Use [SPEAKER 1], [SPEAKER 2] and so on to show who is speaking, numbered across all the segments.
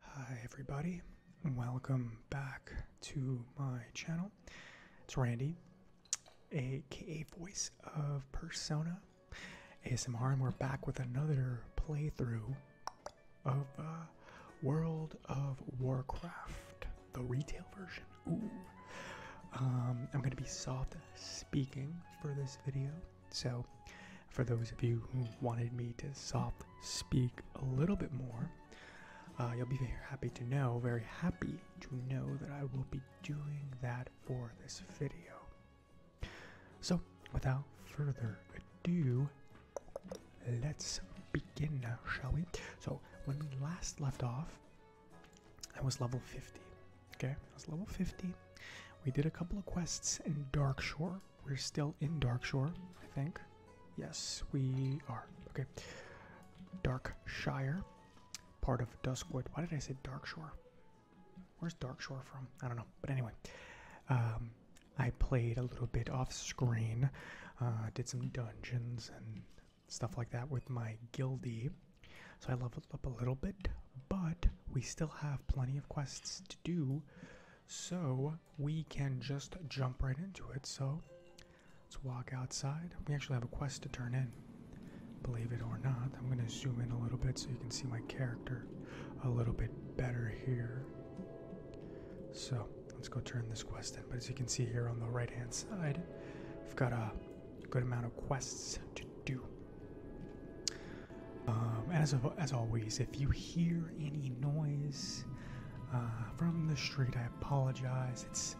[SPEAKER 1] Hi everybody, welcome back to my channel. It's Randy, aka Voice of Persona ASMR, and we're back with another playthrough of uh, World of Warcraft, the retail version. Ooh. Um, I'm gonna be soft speaking for this video, so for those of you who wanted me to soft speak a little bit more, uh, you'll be very happy to know, very happy to know that I will be doing that for this video. So, without further ado, let's begin shall we? So, when we last left off, I was level 50. Okay, I was level 50. We did a couple of quests in Darkshore, we're still in Darkshore, I think. Yes, we are. Okay. Darkshire, part of Duskwood. Why did I say Darkshore? Where's Darkshore from? I don't know. But anyway, um, I played a little bit off screen, uh, did some dungeons and stuff like that with my guildie. So I leveled up a little bit, but we still have plenty of quests to do. So we can just jump right into it. So let's walk outside. We actually have a quest to turn in, believe it or not. I'm going to zoom in a little bit so you can see my character a little bit better here. So let's go turn this quest in. But as you can see here on the right hand side, i have got a good amount of quests to do. Um, as, as always, if you hear any noise uh, from the street, I apologize. It's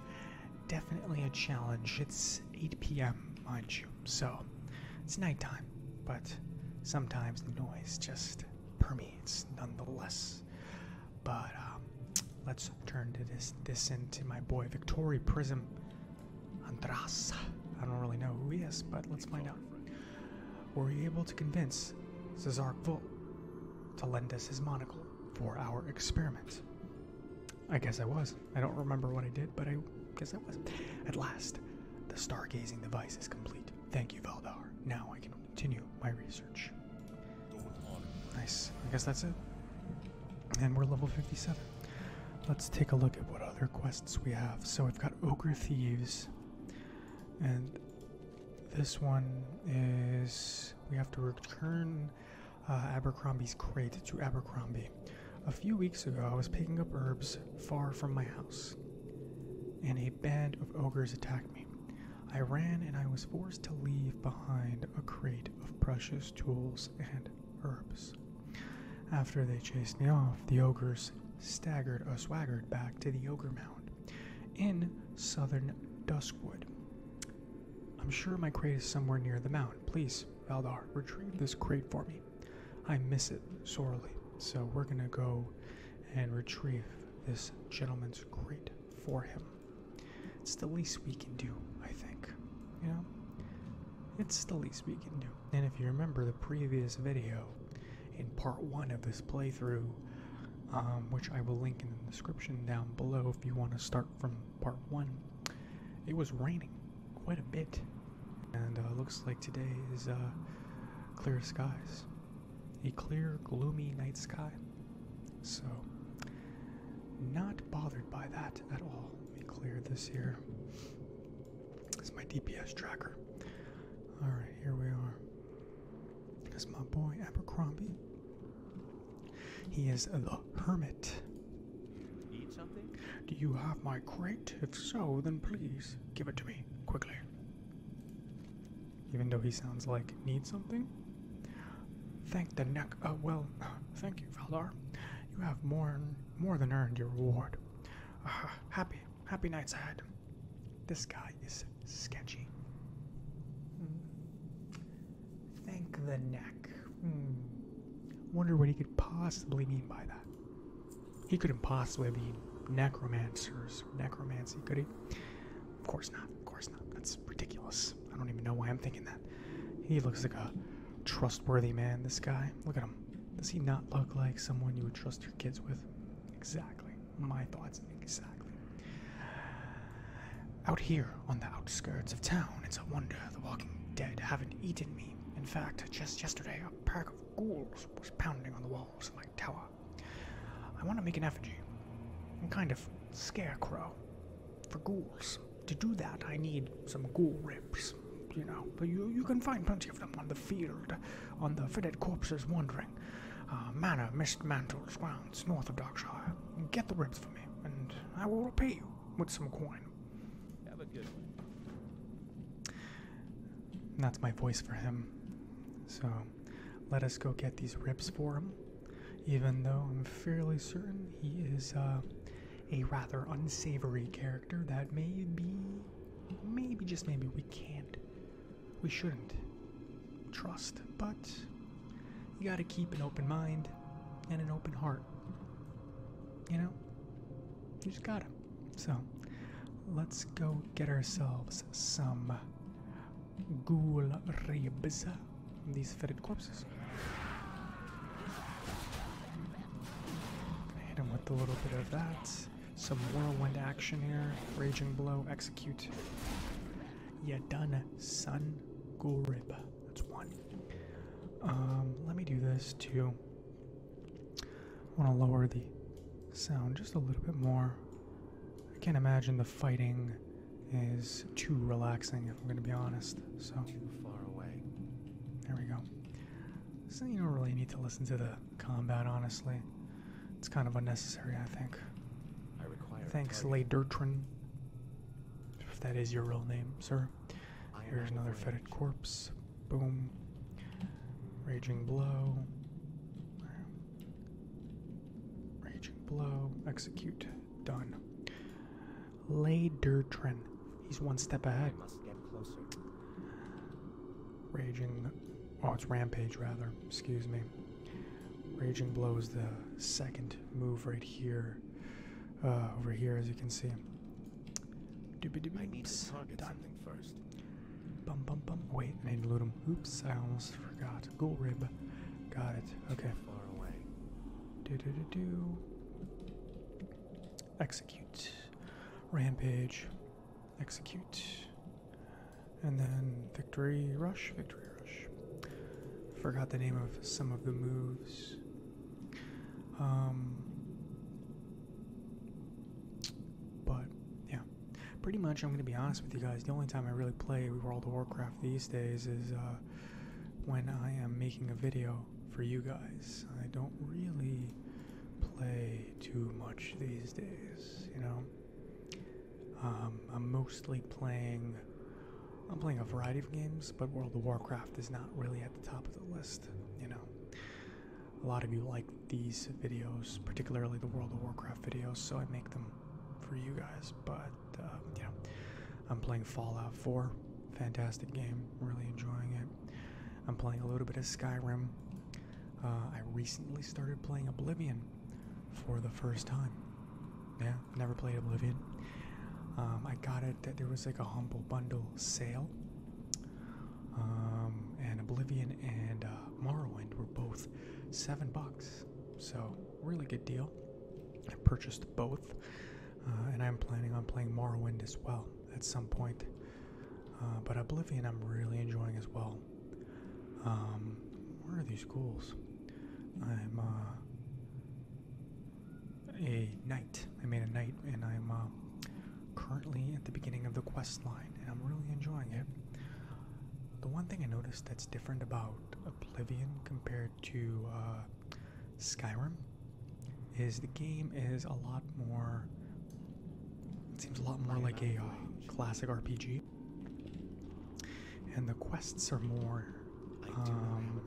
[SPEAKER 1] definitely a challenge. It's 8 p.m., mind you, so it's nighttime, but sometimes noise just permeates nonetheless. But um, let's turn to this this into my boy Victoria Prism Andras. I don't really know who he is, but let's find out were we able to convince Cesark Vull to lend us his monocle for our experiment. I guess I was. I don't remember what I did, but I guess I was. At last, the stargazing device is complete. Thank you, Valdar. Now I can continue my research. Nice. I guess that's it. And we're level 57. Let's take a look at what other quests we have. So we've got Ogre Thieves, and this one is we have to return uh, Abercrombie's crate to Abercrombie. A few weeks ago, I was picking up herbs far from my house, and a band of ogres attacked me. I ran and I was forced to leave behind a crate of precious tools and herbs. After they chased me off, the ogres staggered or swaggered back to the Ogre Mound in southern Duskwood. I'm sure my crate is somewhere near the mound. Please, Valdar, retrieve this crate for me. I miss it sorely, so we're gonna go and retrieve this gentleman's crate for him. It's the least we can do, I think. You know? It's the least we can do. And if you remember the previous video, in part one of this playthrough, um, which I will link in the description down below if you want to start from part one. It was raining quite a bit, and uh, looks like today is uh, clear skies. A clear, gloomy night sky. So, not bothered by that at all. Let me clear this here. It's my DPS tracker. Alright, here we are is my boy Abercrombie. He is the hermit. Need something? Do you have my crate? If so, then please give it to me quickly. Even though he sounds like need something. Thank the neck. Uh, well, thank you, Valdar. You have more more than earned your reward. Ah, happy, happy nights ahead. This guy is sketchy. Mm. Thank the neck. Hmm. Wonder what he could possibly mean by that. He couldn't possibly mean necromancers, necromancy, could he? Of course not. Of course not. That's ridiculous. I don't even know why I'm thinking that. He looks like a trustworthy man, this guy. Look at him. Does he not look like someone you would trust your kids with? Exactly my thoughts exactly. Out here on the outskirts of town, it's a wonder the walking dead haven't eaten me. In fact, just yesterday, a pack of ghouls was pounding on the walls of my tower. I want to make an effigy, a kind of scarecrow for ghouls. To do that, I need some ghoul ribs, you know, you, you can find plenty of them on the field, on the fetid corpses wandering. Uh, Manor, Miss Mantle's grounds, north of Darkshire. Get the ribs for me, and I will repay you with some coin. Have That's my voice for him. So, let us go get these ribs for him, even though I'm fairly certain he is uh, a rather unsavory character that maybe, maybe just maybe we can't we shouldn't trust, but you gotta keep an open mind and an open heart. You know? You just gotta. So, let's go get ourselves some ghoul ribs. These fetid corpses. I hit him with a little bit of that. Some whirlwind action here. Raging blow, execute. Yeah, done, son. Gulrib. That's one. Um, let me do this too. I want to lower the sound just a little bit more. I can't imagine the fighting is too relaxing, if I'm going to be honest. So far away. There we go. So you don't really need to listen to the combat, honestly. It's kind of unnecessary, I think. Thanks, require Thanks, If that is your real name, sir. Here's another fetid corpse. Boom. Raging blow. Raging blow. Execute. Done. Ladertron. He's one step ahead. Raging, oh, it's Rampage rather, excuse me. Raging blows the second move right here, uh, over here, as you can see. I need to target Done. something first. Bum bum bum. Wait, I need to loot him. Oops, I almost forgot. Ghoul Got it. Okay. Far away. Do do do do. Execute. Rampage execute, and then victory rush, victory rush. Forgot the name of some of the moves. Um, but yeah, pretty much. I'm gonna be honest with you guys. The only time I really play World of Warcraft these days is uh, when I am making a video for you guys. I don't really play too much these days, you know. Um, I'm mostly playing. I'm playing a variety of games, but World of Warcraft is not really at the top of the list. You know, a lot of you like these videos, particularly the World of Warcraft videos, so I make them for you guys. But uh, you know, I'm playing Fallout 4. Fantastic game. Really enjoying it. I'm playing a little bit of Skyrim. Uh, I recently started playing Oblivion for the first time. Yeah, never played Oblivion. Um, I got it that there was like a humble bundle sale. Um, and Oblivion and uh, Morrowind were both seven bucks, so really good deal. I purchased both, uh, and I'm planning on playing Morrowind as well at some point. but Oblivion, I'm really enjoying as well well. Um, where are these goals? I'm uh, a knight. I made a knight, and I'm uh, currently at the beginning of the quest line, I'm really enjoying it. The one thing I noticed that's different about Oblivion compared to uh, Skyrim is the game is a lot more. It seems a lot more like a classic RPG and the quests are more. Um,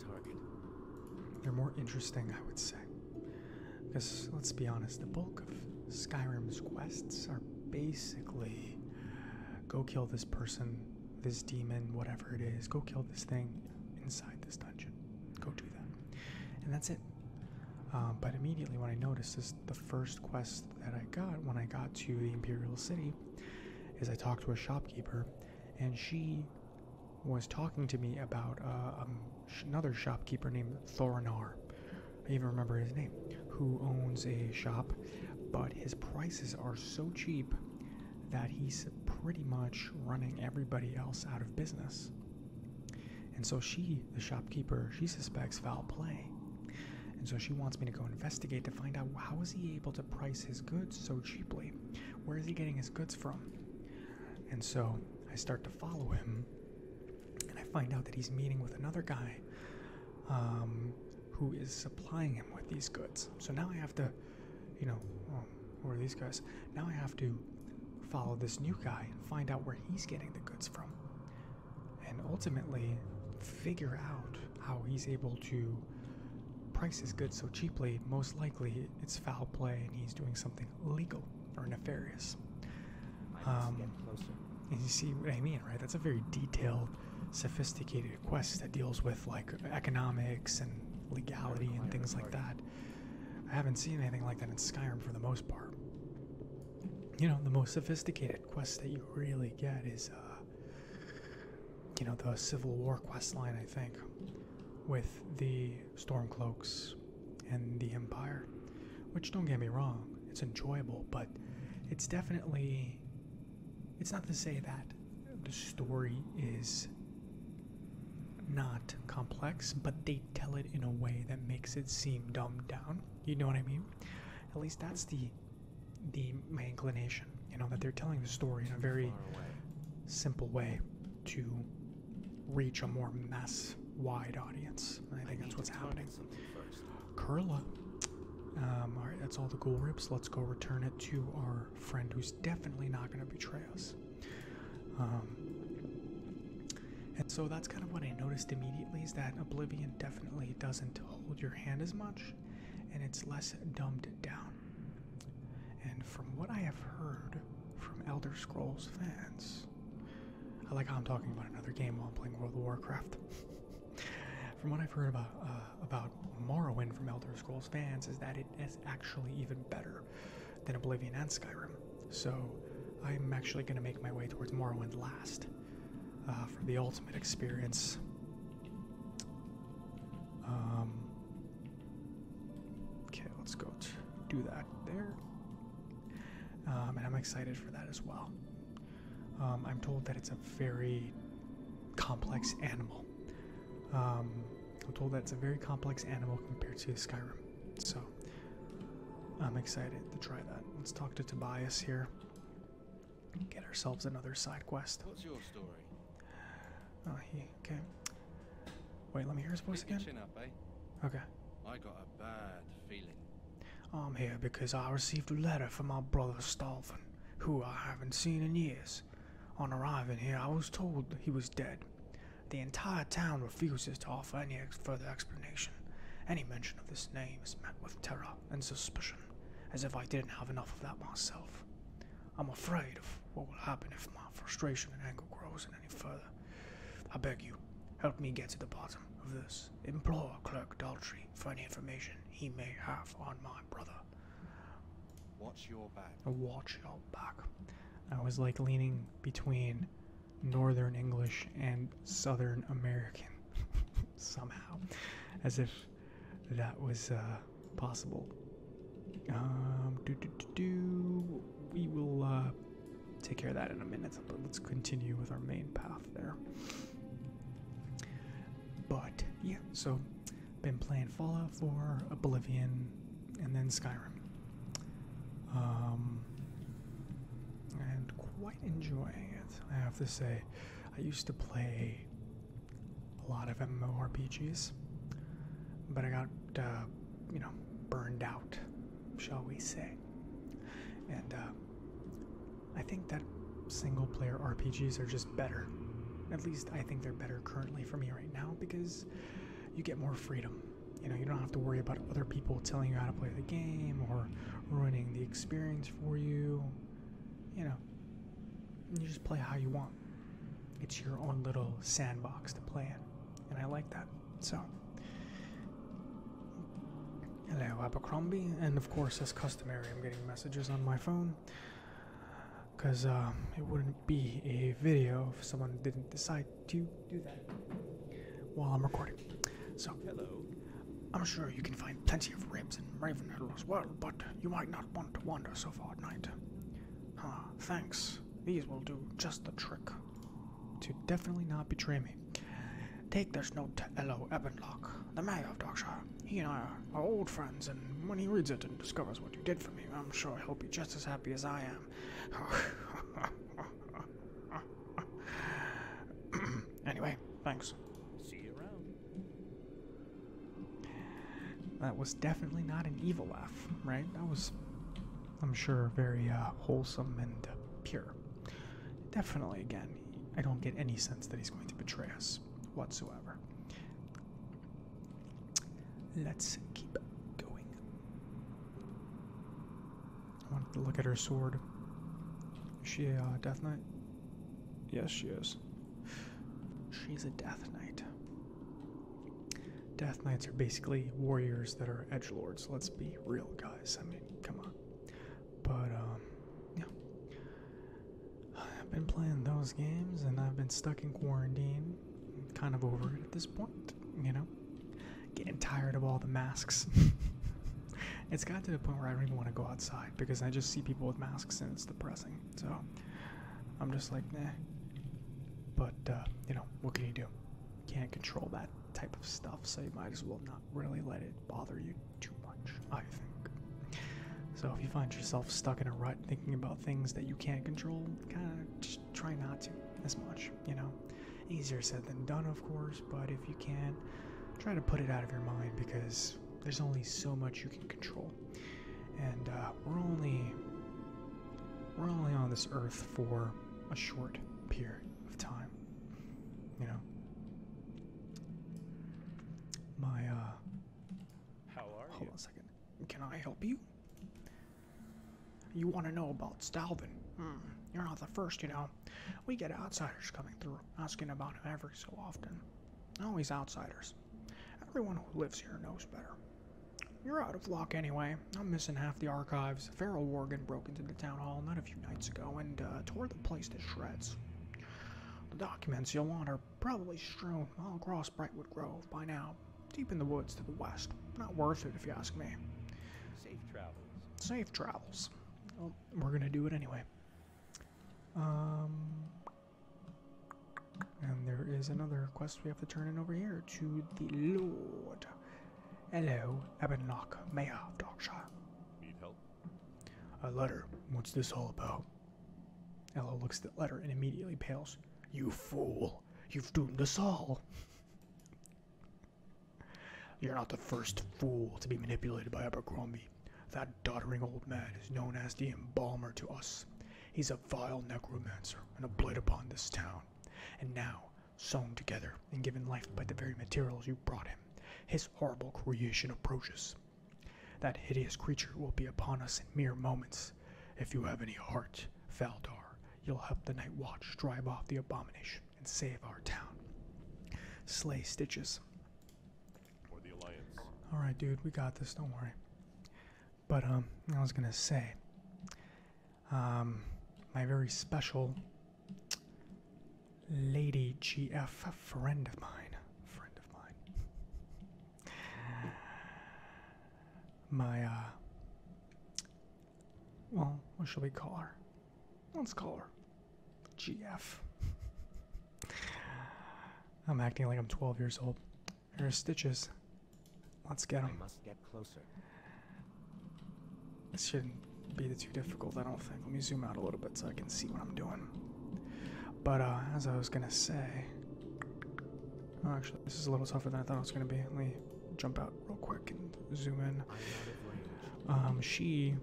[SPEAKER 1] they're more interesting, I would say. Because let's be honest, the bulk of Skyrim's quests are basically go kill this person, this demon, whatever it is, go kill this thing inside this dungeon. Go do that. And that's it. Uh, but immediately what I noticed is the first quest that I got when I got to the Imperial City is I talked to a shopkeeper, and she was talking to me about uh, um, another shopkeeper named Thorinar. I even remember his name, who owns a shop, but his prices are so cheap that he's pretty much running everybody else out of business. And so she, the shopkeeper, she suspects foul play and so she wants me to go investigate to find out how is he able to price his goods so cheaply? Where is he getting his goods from? And so I start to follow him, and I find out that he's meeting with another guy um, who is supplying him with these goods. So now I have to, you know, oh, who are these guys? Now I have to follow this new guy and find out where he's getting the goods from and ultimately figure out how he's able to price his goods so cheaply. Most likely, it's foul play, and he's doing something legal or nefarious. Um, and you see what I mean, right? That's a very detailed, sophisticated quest that deals with like economics and legality and things like that. I haven't seen anything like that in Skyrim for the most part. You know, the most sophisticated quest that you really get is, uh, you know, the Civil War quest line, I think, with the Stormcloaks and the Empire. Which, don't get me wrong, it's enjoyable, but it's definitely. It's not to say that the story is not complex, but they tell it in a way that makes it seem dumbed down. You know what I mean? At least that's the the my inclination. You know that they're telling the story in a very simple way to reach a more mass-wide audience. I think that's what's happening. Curla. Um, all right, that's all the ghoul Let's go return it to our friend who's definitely not going to betray us. Um, and so that's kind of what I noticed immediately is that Oblivion definitely doesn't hold your hand as much and it's less dumbed down. And from what I have heard from Elder Scrolls fans, I like how I'm talking about another game while I'm playing World of Warcraft. from what I've heard uh, about Morrowind from Elder Scrolls fans is that it is actually even better than Oblivion and Skyrim. So I'm actually going to make my way towards Morrowind last. Uh, for the ultimate experience. Um, okay, let's go do that there. Um, and I'm excited for that as well. Um, I'm told that it's a very complex animal. I'm told that it's a very complex animal compared to Skyrim. So I'm excited to try that. Let's talk to Tobias here get ourselves another side quest. What's your story? Oh, he okay. Wait, let me hear his voice again. Eh? Okay. I got a bad feeling. I'm here because I received a letter from my brother Stalfan, who I haven't seen in years. On arriving here, I was told he was dead. The entire town refuses to offer any further explanation. Any mention of this name is met with terror and suspicion, as if I didn't have enough of that myself. I'm afraid of what will happen if my frustration and anger grows any further. I beg you, help me get to the bottom of this. Implore Clerk Daltrey for any information he may have on my brother. Watch your back. Watch your back. I was like leaning between Northern English and Southern American. somehow, as if that was uh, possible. Um, we will uh, take care of that in a minute, but let's continue with our main path there. But yeah, so been playing Fallout 4, Oblivion, and then Skyrim. Um, and quite enjoying it, I have to say. I used to play a lot of MMORPGs, but I got, uh, you know, burned out, shall we say. And uh, I think that single player RPGs are just better. At least I think they're better currently for me right now because you get more freedom. You know, you don't have to worry about other people telling you how to play the game or ruining the experience for you. You know, you just play how you want. It's your own little sandbox to play in, and I like that. So, hello, Abercrombie, and of course, as customary, I'm getting messages on my phone because uh, it wouldn't be a video if someone didn't decide to do that while I'm recording. So, hello. I'm sure you can find plenty of ribs in Ravenhill as well, but you might not want to wander so far at night. Ah, thanks. These will do just the trick. To definitely not betray me. Take this note to Ello Ebbenlock, the mayor of Darkshire. He and I are old friends, and when he reads it and discovers what you did for me, I'm sure he'll be just as happy as I am. Anyway, thanks. See you around. That was definitely not an evil laugh, right? That was, I'm sure, very uh, wholesome and uh, pure. Definitely, again, I don't get any sense that he's going to betray us whatsoever. Let's keep going. I wanted to look at her sword. Is she a uh, Death Knight? Yes, she is. She's a Death Knight. Death Knights are basically warriors that are edge lords. Let's be real, guys. I mean, come on. But um, yeah, I've been playing those games, and I've been stuck in quarantine. kind of over it at this point, you know. Getting tired of all the masks. it's got to the point where I don't even want to go outside because I just see people with masks and it's depressing. So I'm just like, nah. But uh, you know, what can you do? Can't control that type of stuff, so you might as well not really let it bother you too much. I think. So if you find yourself stuck in a rut thinking about things that you can't control, kind of just try not to as much. You know, easier said than done, of course but if you can, try to put it out of your mind because there's only so much you can control. And uh, we're only we're only on this earth for a short period of time. You know. My uh How are hold you? Hold on a second. Can I help you? You want to know about Stalvin? Hmm, you're not the first, you know we get outsiders coming through, asking about him every so often. Always outsiders. Everyone who lives here knows better. You're out of luck anyway. I'm missing half the archives. Farrell Worgan broke into the town hall not a few nights ago and uh, tore the place to shreds. The documents you'll want are probably strewn all across Brightwood Grove by now, deep in the woods to the west. Not worth it if you ask me. Safe travels. Safe travels. Well, we're gonna do it anyway. Um, and there is another quest we have to turn in over here to the Lord. Hello, Ebonlock, Mayor of Darkshire. Need help? A letter. What's this all about? Ella looks at the letter and immediately pales. You fool! You've doomed us all! You're not the first fool to be manipulated by Abercrombie. That doddering old man is known as the embalmer to us. He's a vile necromancer and a blight upon this town. And now, sewn together and given life by the very materials you brought him, his horrible creation approaches. That hideous creature will be upon us in mere moments. If you have any heart, Valdar, you'll help the Night Watch drive off the abomination and save our town. Slay stitches. For the alliance. All right, dude, we got this. Don't worry. But um, I was gonna say, um, my very special lady GF friend of mine, friend of mine. My uh, well, what should we call her? Let's call her GF. I'm acting like I'm 12 years old. Here are stitches. Let's get them. must get closer. This shouldn't be too difficult, I don't think. Let me zoom out a little bit so I can see what I'm doing. But uh, as I was gonna say, oh, actually, this is a little tougher than I thought it was gonna be. Let me jump out real quick and zoom in. Um, she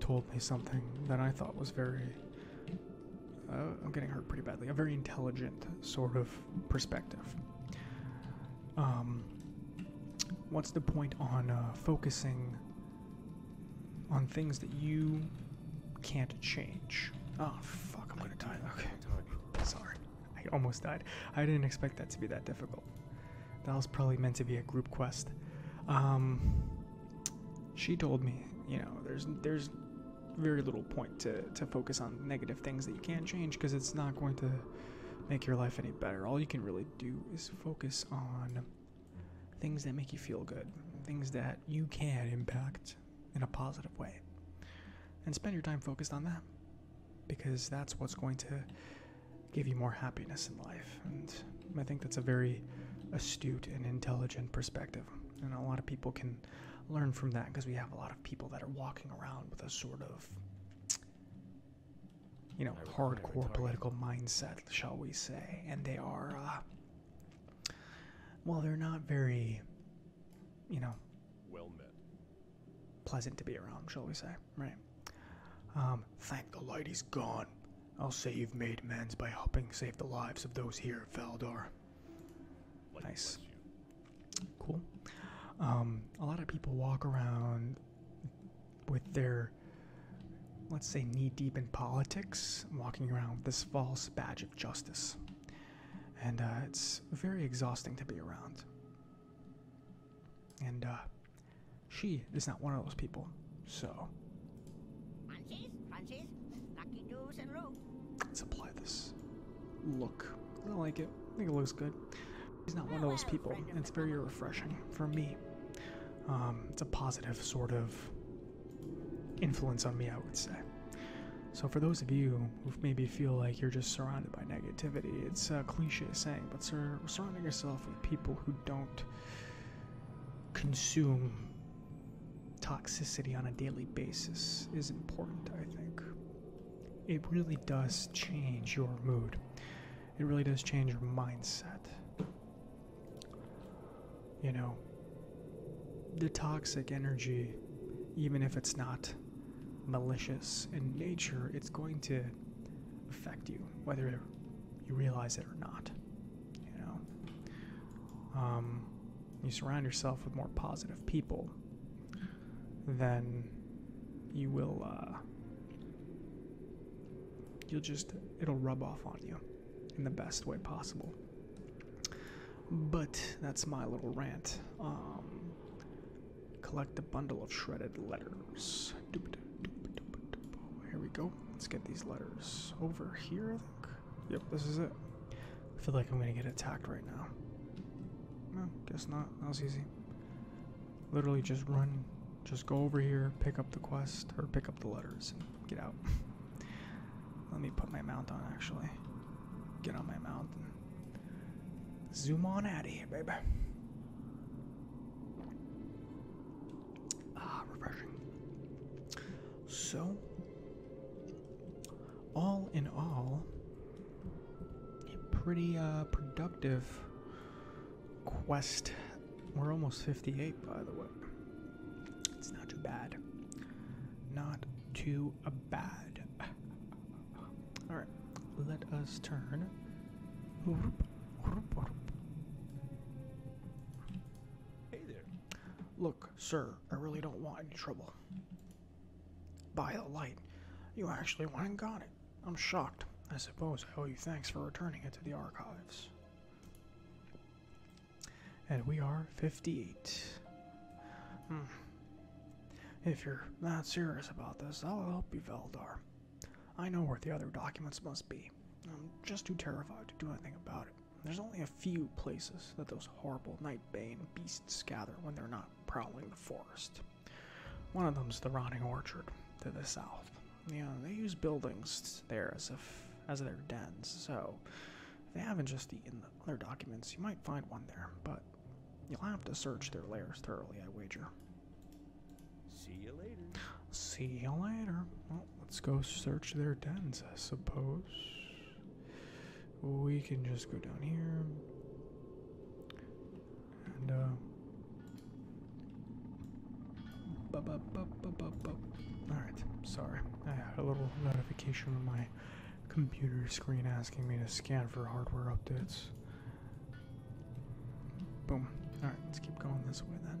[SPEAKER 1] told me something that I thought was very. Uh, I'm getting hurt pretty badly. A very intelligent sort of perspective. Um, what's the point on uh, focusing on things that you can't change? Oh, fuck, I'm gonna die. Okay, sorry. I almost died. I didn't expect that to be that difficult. That was probably meant to be a group quest. Um, she told me, you know, there's there's very little point to to focus on negative things that you can't change because it's not going to make your life any better. All you can really do is focus on things that make you feel good, things that you can impact in a positive way. And spend your time focused on that because that's what's going to give you more happiness in life. And I think that's a very astute and intelligent perspective. And a lot of people can learn from that because we have a lot of people that are walking around with a sort of, you know, hardcore political mindset, shall we say. And they are, uh, well, they're not very, you know, well met. Pleasant to be around, shall we say, right? Um, thank the light he's gone. I'll say you've made amends by helping save the lives of those here at nice. Cool. Um, a lot of people walk around with their, let's say, knee deep in politics, walking around with this false badge of justice. And uh, it's very exhausting to be around. And uh, she is not one of those people. So crunchies, Let's apply this look. I like it. I think it looks good. She's not one of those people. It's very refreshing for me. Um, it's a positive sort of influence on me, I would say. So for those of you who maybe feel like you're just surrounded by negativity, it's a uh, cliche saying, but sur surrounding yourself with people who don't consume toxicity on a daily basis is important, I think. It really does change your mood, it really does change your mindset. You know, the toxic energy, even if it's not malicious in nature, it's going to affect you, whether you realize it or not. You know, um, you surround yourself with more positive people, then you will. Uh, you'll just it'll rub off on you in the best way possible. But that's my little rant. Um, collect a bundle of shredded letters. Here we go. Let's get these letters over here, I think. Yep, this is it. I feel like I'm gonna get attacked right now. guess not. That was easy. Literally just run, just go over here, pick up the quest, or pick up the letters, and get out. Let me put my mount on actually. Get on my mount and zoom on out of here, baby. Ah, refreshing. So, all in all, pretty uh, productive quest. We're almost 58, by the way. It's not too bad. Not too bad. All right, let us turn. Hey there. Look, sir, I really don't want any trouble. By the light, you actually went and got it. I'm shocked. I suppose I owe you thanks for returning it to the archives. And we are 58. Hmm. If you're not serious about this, I'll help you, Veldar. I know where the other documents must be. I'm just too terrified to do anything about it. There's only a few places that those horrible Nightbane beasts gather when they're not prowling the forest. One of them's the Rotting Orchard to the south. Yeah, they use buildings there as if as their dens, so if they haven't just eaten the other documents, you might find one there, but you'll have to search their lairs thoroughly, I wager. See you later. See you later. Well, let's go search their dens, I suppose. We can just go down here. And, uh. Alright, sorry. I had a little notification on my computer screen asking me to scan for hardware updates. Boom. Alright, let's keep going this way then.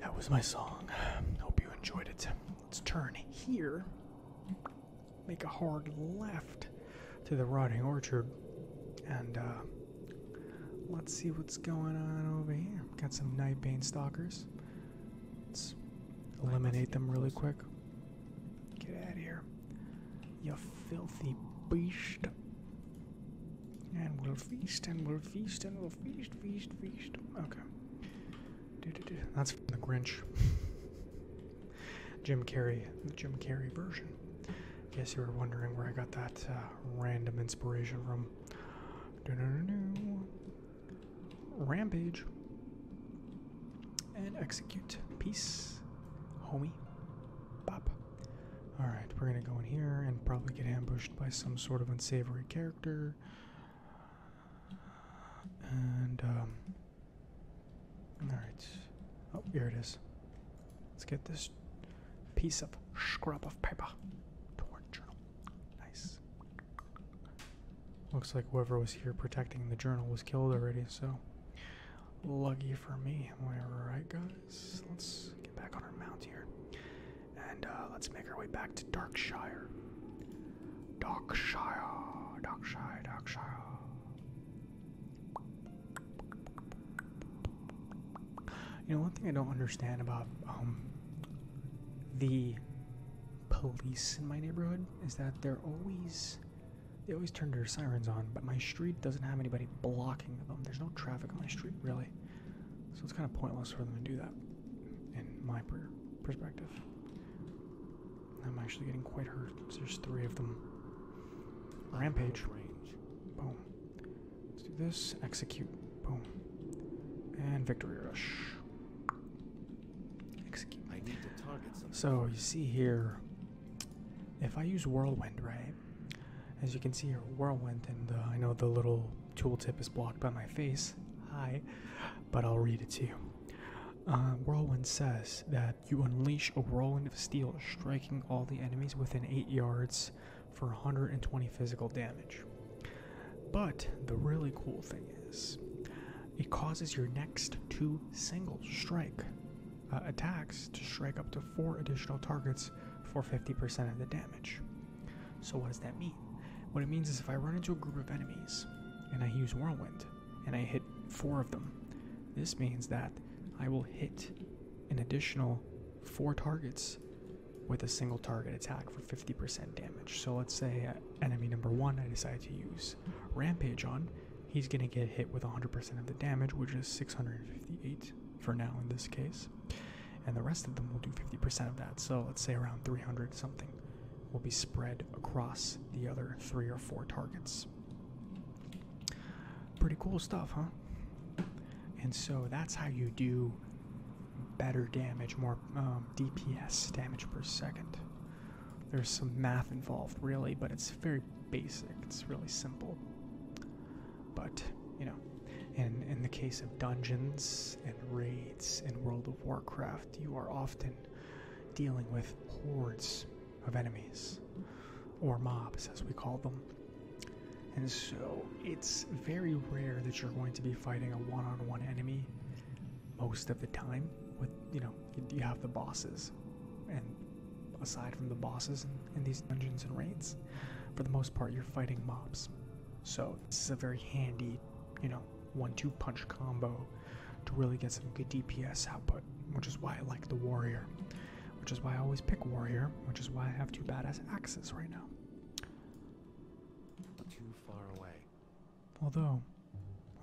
[SPEAKER 1] That was my song. Hope you enjoyed it. Let's turn here. Make a hard left to the rotting orchard. And uh, let's see what's going on over here. Got some Nightbane Stalkers. Let's eliminate them really quick. Get out of here you filthy beast. And we'll feast, and we'll feast, and we'll feast, feast, feast. Okay. Do, do, That's the Grinch. Jim Carrey, the Jim Carrey version. I guess you were wondering where I got that uh, random inspiration from. Do, do, do, do. Rampage and execute. Peace, homie. Bop. Alright, we're gonna go in here and probably get ambushed by some sort of unsavory character. And, um. Alright. Oh, here it is. Let's get this piece of scrap of paper. Torn journal. Nice. Looks like whoever was here protecting the journal was killed already, so. Lucky for me. Am I right, guys? Let's get back on our mount here. And uh, let's make our way back to Darkshire. Darkshire, Darkshire, Darkshire. You know, one thing I don't understand about um, the police in my neighborhood is that they're always they always turn their sirens on, but my street doesn't have anybody blocking them. There's no traffic on my street, really. So it's kind of pointless for them to do that, in my perspective. I'm actually getting quite hurt. There's three of them. Rampage. range, Boom. Let's do this. Execute. Boom. And victory rush. Execute. I need So you see here, if I use Whirlwind, right? As you can see here, Whirlwind, and uh, I know the little tooltip is blocked by my face. Hi, but I'll read it to you. Uh, whirlwind says that you unleash a whirlwind of steel, striking all the enemies within 8 yards for 120 physical damage. But the really cool thing is, it causes your next two single strike uh, attacks to strike up to four additional targets for 50% of the damage. So, what does that mean? What it means is if I run into a group of enemies and I use Whirlwind and I hit four of them, this means that I will hit an additional four targets with a single target attack for 50% damage. So let's say uh, enemy number one, I decide to use rampage on, he's going to get hit with 100% of the damage, which is 658 for now in this case. And the rest of them will do 50% of that. So let's say around 300 something will be spread across the other three or four targets. Pretty cool stuff, huh? And so that's how you do better damage, more um, DPS damage per second. There's some math involved, really, but it's very basic. It's really simple. But, you know, in, in the case of dungeons and raids in World of Warcraft, you are often dealing with hordes of enemies, or mobs as we call them. And so it's very rare that you're going to be fighting a one on one enemy most of the time, with, you know, you have the bosses, and aside from the bosses in, these dungeons and raids, for the most part you're fighting mobs. So this is a very handy, you know, one-two punch combo to really get some good DPS output, which is why I like the warrior, which is why I always pick warrior, which is why I have two badass axes right now. Too far away. Although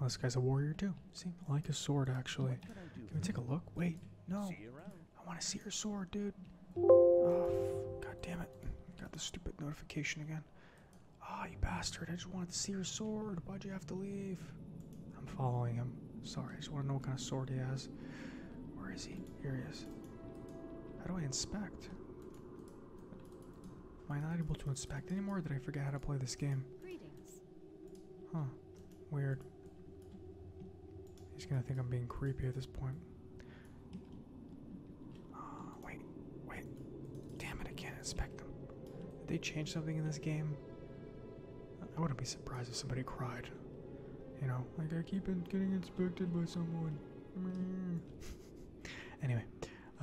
[SPEAKER 1] this guy's a warrior too. See, like a sword actually. Can we take a look? Wait, no. I want to see your sword, dude. Oh, God damn it. Got the stupid notification again. Ah, you bastard. I just wanted to see your sword. Why'd you have to leave? I'm following him. Sorry, I just want to know what kind of sword he has. Where is he? Here he is. How do I inspect? Am I not able to inspect anymore? did I forget how to play this game? Huh. Weird. He's gonna think I'm being creepy at this point. Uh, wait, wait. Damn it, I can't inspect them. Did they change something in this game? I wouldn't be surprised if somebody cried. You know, like I keep getting inspected by someone. anyway,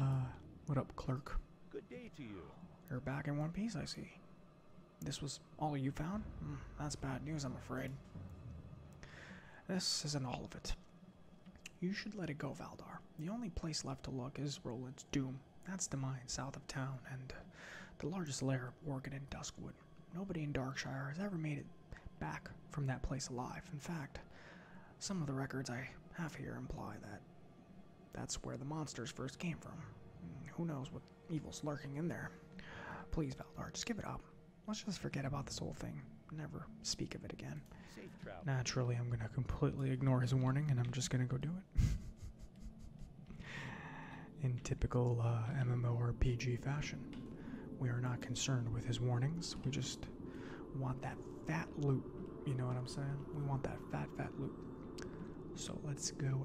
[SPEAKER 1] uh, what up, clerk? Good day to you. You're back in one piece, I see. This was all you found? Hmm, that's bad news, I'm afraid. This isn't all of it. You should let it go, Valdar. The only place left to look is Roland's Doom. That's the mine south of town and the largest layer of Morgan and Duskwood. Nobody in Darkshire has ever made it back from that place alive. In fact, some of the records I have here imply that that's where the monsters first came from. Who knows what evil's lurking in there? Please, Valdar, just give it up. Let's just forget about this whole thing. Never speak of it again. Naturally, I'm going to completely ignore his warning and I'm just going to go do it. in typical uh, MMO or PG fashion, we are not concerned with his warnings. We just want that fat loot. You know what I'm saying? We want that fat, fat loot. So let's go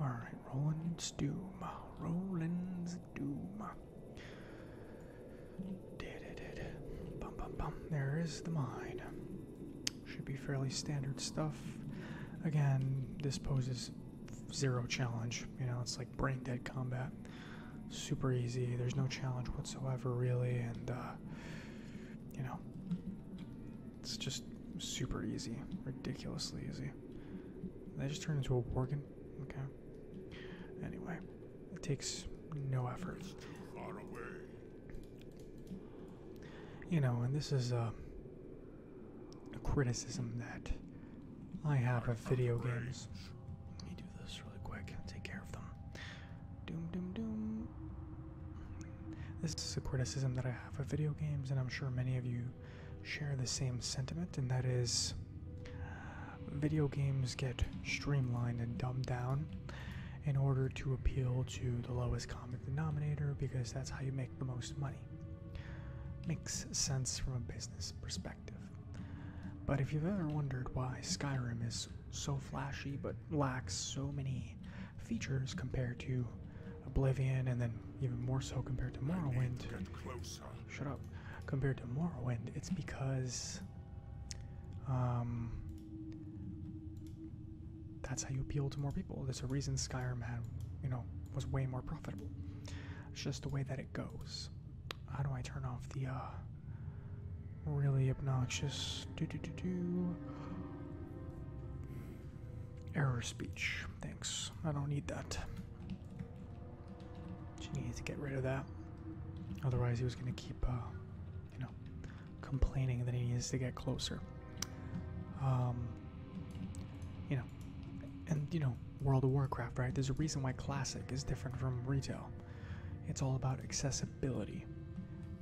[SPEAKER 1] Alright, Rollins Doom. Roland's Doom. Did it, There is the mine. Should be fairly standard stuff. Again, this poses zero challenge. You know, it's like brain dead combat. Super easy. There's no challenge whatsoever, really. And, uh, you know, it's just super easy. Ridiculously easy. Did I just turn into a worgen? Okay. Anyway, it takes no effort. You know, and this is uh, a criticism that I have of video games. Let me do this really quick. Take care of them. Doom, doom, doom. This is a criticism that I have of video games, and I'm sure many of you share the same sentiment, and that is video games get streamlined and dumbed down in order to appeal to the lowest common denominator because that's how you make the most money. Makes sense from a business perspective. But if you've ever wondered why Skyrim is so flashy but lacks so many features compared to Oblivion and then even more so compared to Morrowind, Shut up. Compared to Morrowind, it's because um, that's how you appeal to more people. There's a reason Skyrim had, you know, was way more profitable. It's just the way that it goes. How do I turn off the uh, really obnoxious do do do do error speech? Thanks. I don't need that. She needed to get rid of that. Otherwise, he was going to keep, uh, you know, complaining that he needs to get closer. Um, you know, and, you know, World of Warcraft, right? There's a reason why Classic is different from retail. It's all about accessibility.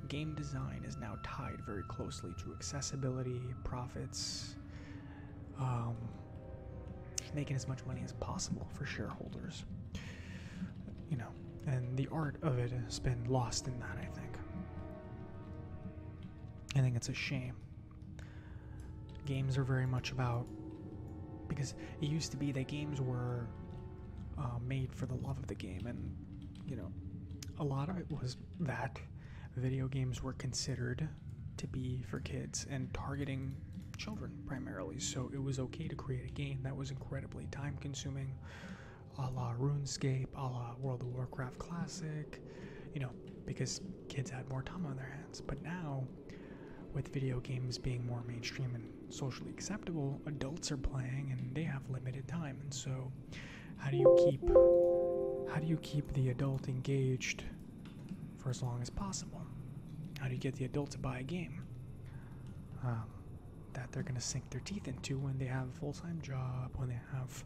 [SPEAKER 1] Game design is now tied very closely to accessibility, profits, um, making as much money as possible for shareholders. You know, and the art of it has been lost in that, I think. I think it's a shame. Games are very much about. Because it used to be that games were uh, made for the love of the game, and, you know, a lot of it was that video games were considered to be for kids and targeting children primarily. So it was okay to create a game that was incredibly time consuming, a la RuneScape, a la World of Warcraft Classic, you know, because kids had more time on their hands. But now, with video games being more mainstream and socially acceptable, adults are playing and they have limited time. And so, how do you keep how do you keep the adult engaged for as long as possible. How do you get the adult to buy a game um, that they're going to sink their teeth into when they have a full time job, when they have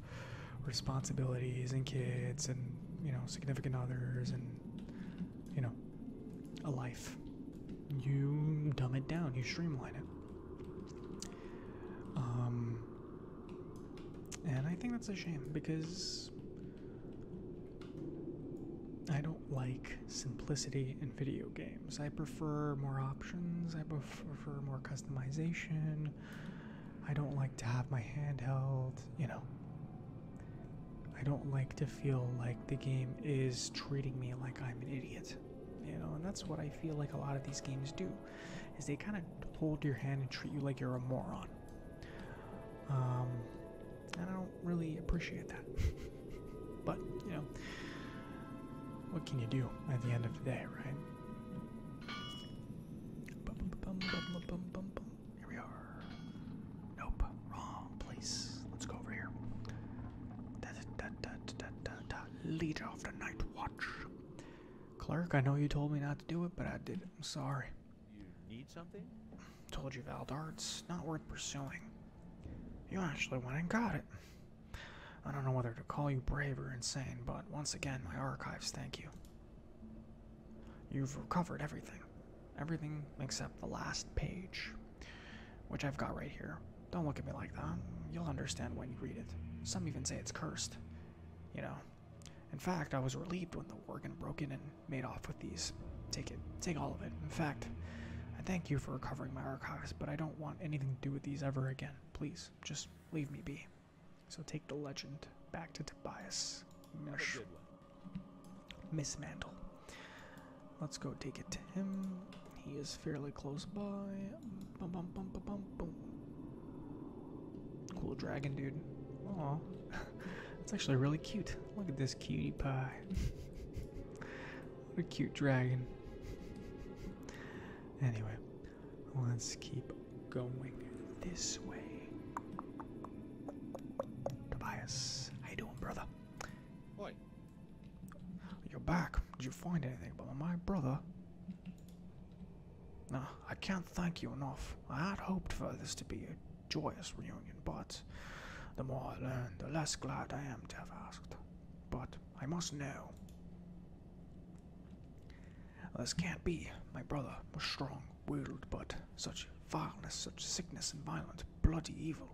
[SPEAKER 1] responsibilities and kids and, you know, significant others and, you know, a life? You dumb it down, you streamline it. Um, and I think that's a shame because I don't like simplicity in video games. I prefer more options, I prefer more customization. I don't like to have my hand held, you know. I don't like to feel like the game is treating me like I'm an idiot. You know, and that's what I feel like a lot of these games do. Is they kind of hold your hand and treat you like you're a moron. Um, and I don't really appreciate that. but, you know, what can you do at the end of the day, right? Here we are. Nope, wrong place. Let's go over here. Da, da, da, da, da, da, Leader of the Night Watch. Clerk, I know you told me not to do it, but I did. I'm sorry. You need something? Told you, Valdar, it's not worth pursuing. You actually went and got it. I don't know whether to call you brave or insane, but once again, my archives thank you. You've recovered everything. Everything except the last page, which I've got right here. Don't look at me like that. You'll understand when you read it. Some even say it's cursed. You know, in fact, I was relieved when the Worgen broke in and made off with these. Take it. Take all of it. In fact, I thank you for recovering my archives, but I don't want anything to do with these ever again. Please, just leave me be. So take the legend back to Tobias. Mish. Miss Mantle. Let's go take it to him. He is fairly close by. Cool dragon, dude. Oh, that's actually really cute. Look at this cutie pie. what a cute dragon. Anyway, let's keep going this way. Tobias, how you doing, brother? Boy, You're back. Did you find anything about my brother? Now, I can't thank you enough. I had hoped for this to be a joyous reunion, but the more I learn, the less glad I am to have asked. But I must know. This can't be. My brother was strong willed, but such vileness, such sickness and violence bloody evil.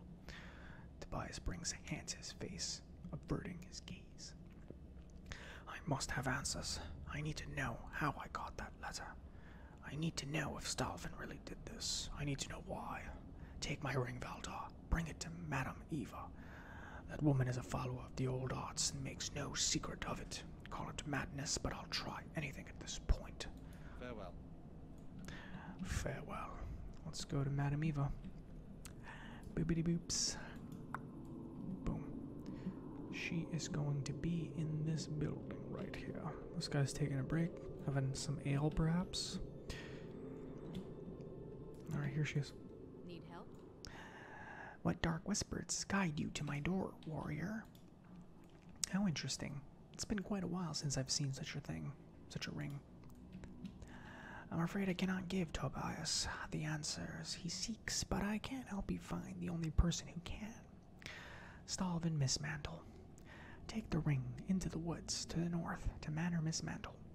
[SPEAKER 1] Tobias brings a hand to his face, averting his gaze. I must have answers. I need to know how I got that letter. I need to know if Stalvin really did this. I need to know why. Take my ring, Valdar. Bring it to Madame Eva. That woman is a follower of the old arts and makes no secret of it. Call it madness, but I'll try anything at this point. Farewell. Farewell. Let's go to Madame Eva. Boopity boops. Boom. She is going to be in this building right here. This guy's taking a break, having some ale perhaps. Alright, here she is. Need help? What dark whispers guide you to my door, warrior? How interesting. It's been quite a while since I've seen such a thing, such a ring. I'm afraid I cannot give Tobias the answers he seeks, but I can help you find the only person who can. Stalv and Take the ring into the woods to the north to Manor Miss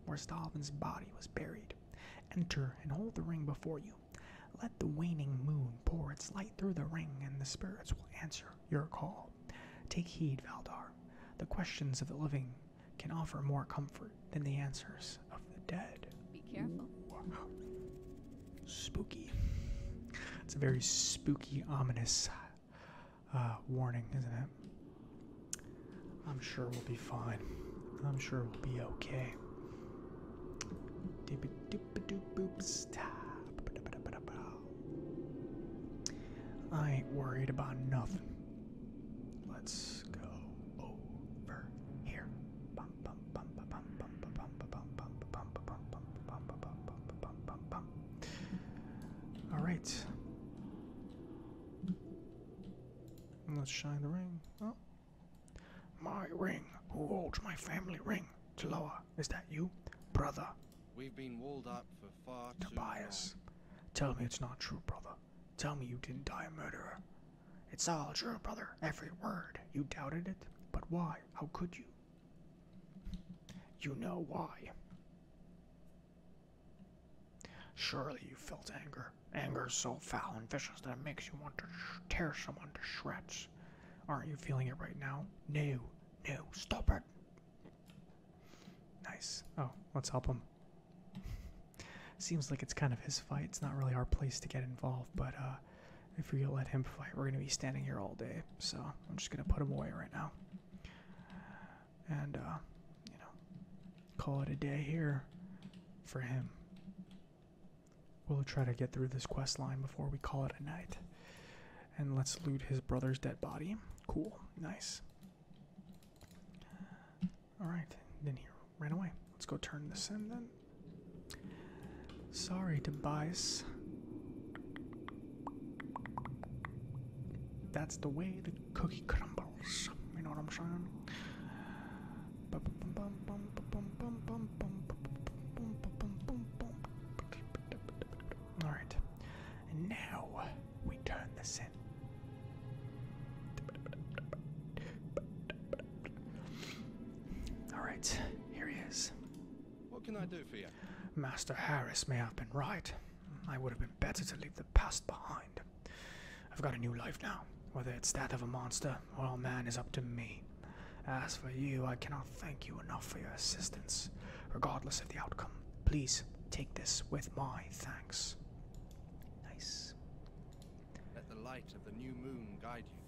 [SPEAKER 1] where Stalvin's body was buried. Enter and hold the ring before you. Let the waning moon pour its light through the ring, and the spirits will answer your call. Take heed, Valdar. The questions of the living can offer more comfort than the answers of the dead. Be careful. Spooky. It's a very spooky, ominous uh, warning, isn't it? I'm sure we'll be fine. I'm sure we'll be okay. I ain't worried about nothing. Let's go over here. All right. Let's shine the ring. Oh. My ring. Who holds my family ring? Taloa, is that you? Brother. We've been walled up for far too long. Tell me it's not true, brother. Tell me you didn't die a murderer. It's all true, brother. Every word. You doubted it? But why? How could you? You know why. Surely you felt anger. Anger so foul and vicious that it makes you want to tear someone to shreds. Aren't you feeling it right now? No, no, stop it. Nice. Oh, let's help him. Seems like it's kind of his fight. It's not really our place to get involved, but uh, if we let him fight, we're going to be standing here all day. So I'm just going to put him away right now. And, uh, you know, call it a day here for him. We'll try to get through this quest line before we call it a night. And let's loot his brother's dead body. Cool. Nice. Alright, then he ran away. Let's go turn this in then. Sorry, Tobias. That's the way the cookie crumbles. You know what I'm saying? Alright. And now we turn this in. Alright, here he is. What can I do for you? Master Harris may have been right. I would have been better to leave the past behind. I've got a new life now. Whether it's that of a monster or a man is up to me. As for you, I cannot thank you enough for your assistance, regardless of the outcome. Please take this with my thanks. Nice. Let the light of the new moon guide you.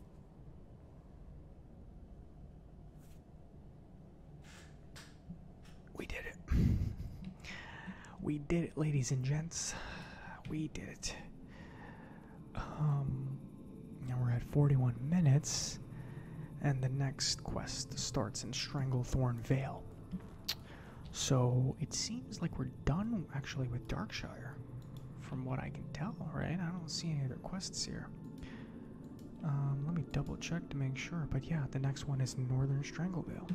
[SPEAKER 1] We did it. We did it, ladies and gents. We did it. Um, now we're at 41 minutes, and the next quest starts in Stranglethorn Vale. So it seems like we're done actually with Darkshire, from what I can tell, right? I don't see any other quests here. Um, let me double check to make sure, but yeah, the next one is Northern Stranglevale.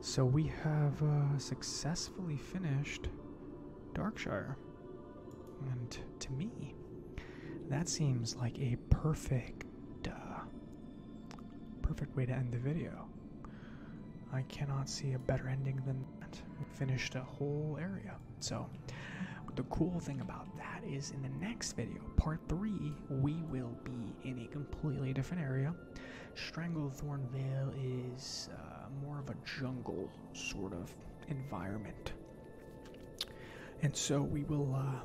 [SPEAKER 1] So we have uh, successfully finished Darkshire. And to me, that seems like a perfect, uh, perfect way to end the video. I cannot see a better ending than that. finished a whole area. So, the cool thing about that is in the next video, part three, we will be in a completely different area. Stranglethorn Vale is uh, more of a jungle sort of environment. And so we will uh,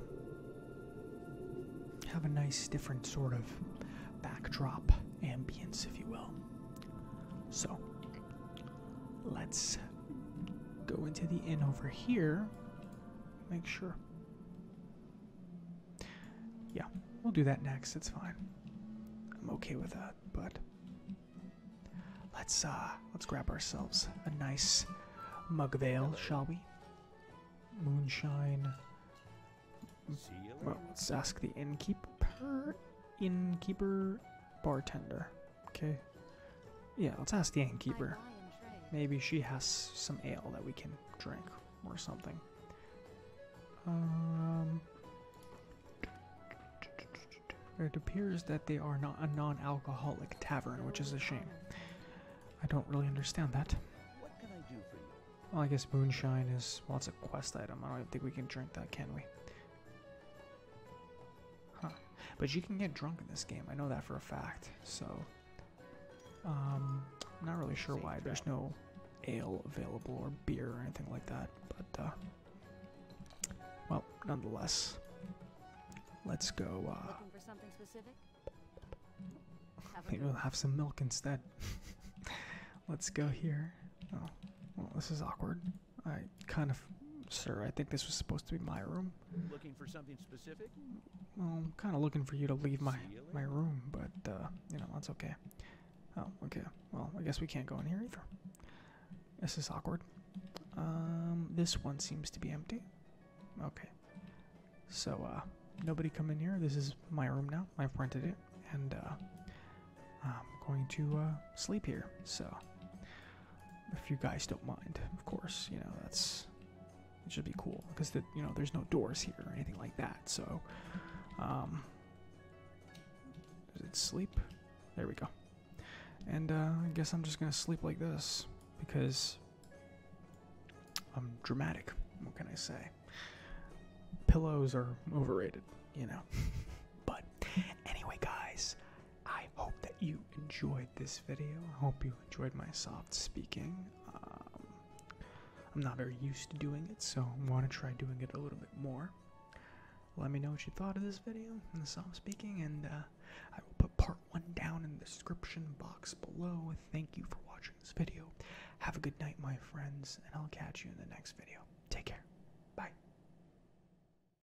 [SPEAKER 1] have a nice different sort of backdrop ambience, if you will. So, Let's go into the inn over here. Make sure. Yeah, we'll do that next. It's fine. I'm okay with that, but let's uh let's grab ourselves a nice mug veil, shall we? Moonshine. Well, let's ask the innkeeper, innkeeper, bartender. Okay. Yeah, let's ask the innkeeper. Maybe she has some ale that we can drink or something. Um, it appears that they are not a non-alcoholic tavern, which is a shame. I don't really understand that. What can I do for you? Well, I guess moonshine is well, it's a quest item. I don't think we can drink that, can we? Huh. But you can get drunk in this game. I know that for a fact. So, um, I'm not really sure why there's no ale available or beer or anything like that. But, uh, well, nonetheless, let's go. Uh, Looking Maybe we'll have some milk instead. let's go here. Oh, this is awkward. I kind of, sir. I think this was supposed to be my room. Looking for something specific? Well, I'm kind of looking for you to leave my my room, but uh, you know that's okay. Oh, okay. Well, I guess we can't go in here either. This is awkward. Um, this one seems to be empty. Okay. So, uh, nobody come in here. This is my room now. I've rented it, and uh, I'm going to sleep here. So, if you guys don't mind, of course, you know, that's it should be cool because you know there's no doors here or anything like that. So, um, is it sleep? There we go. And uh, I guess I'm just gonna sleep like this because I'm dramatic. What can I say? Pillows are overrated, you know. but anyway, guys, I hope that you enjoyed this video. I hope you enjoyed my soft speaking. Um, I'm not very used to doing it, so I want to try doing it a little bit more. Let me know what you thought of this video and the soft speaking, and uh, I will put part one down in the description box below. Thank you for watching this video. Have a good night, my friends, and I'll catch you in the next video. Take care. Bye.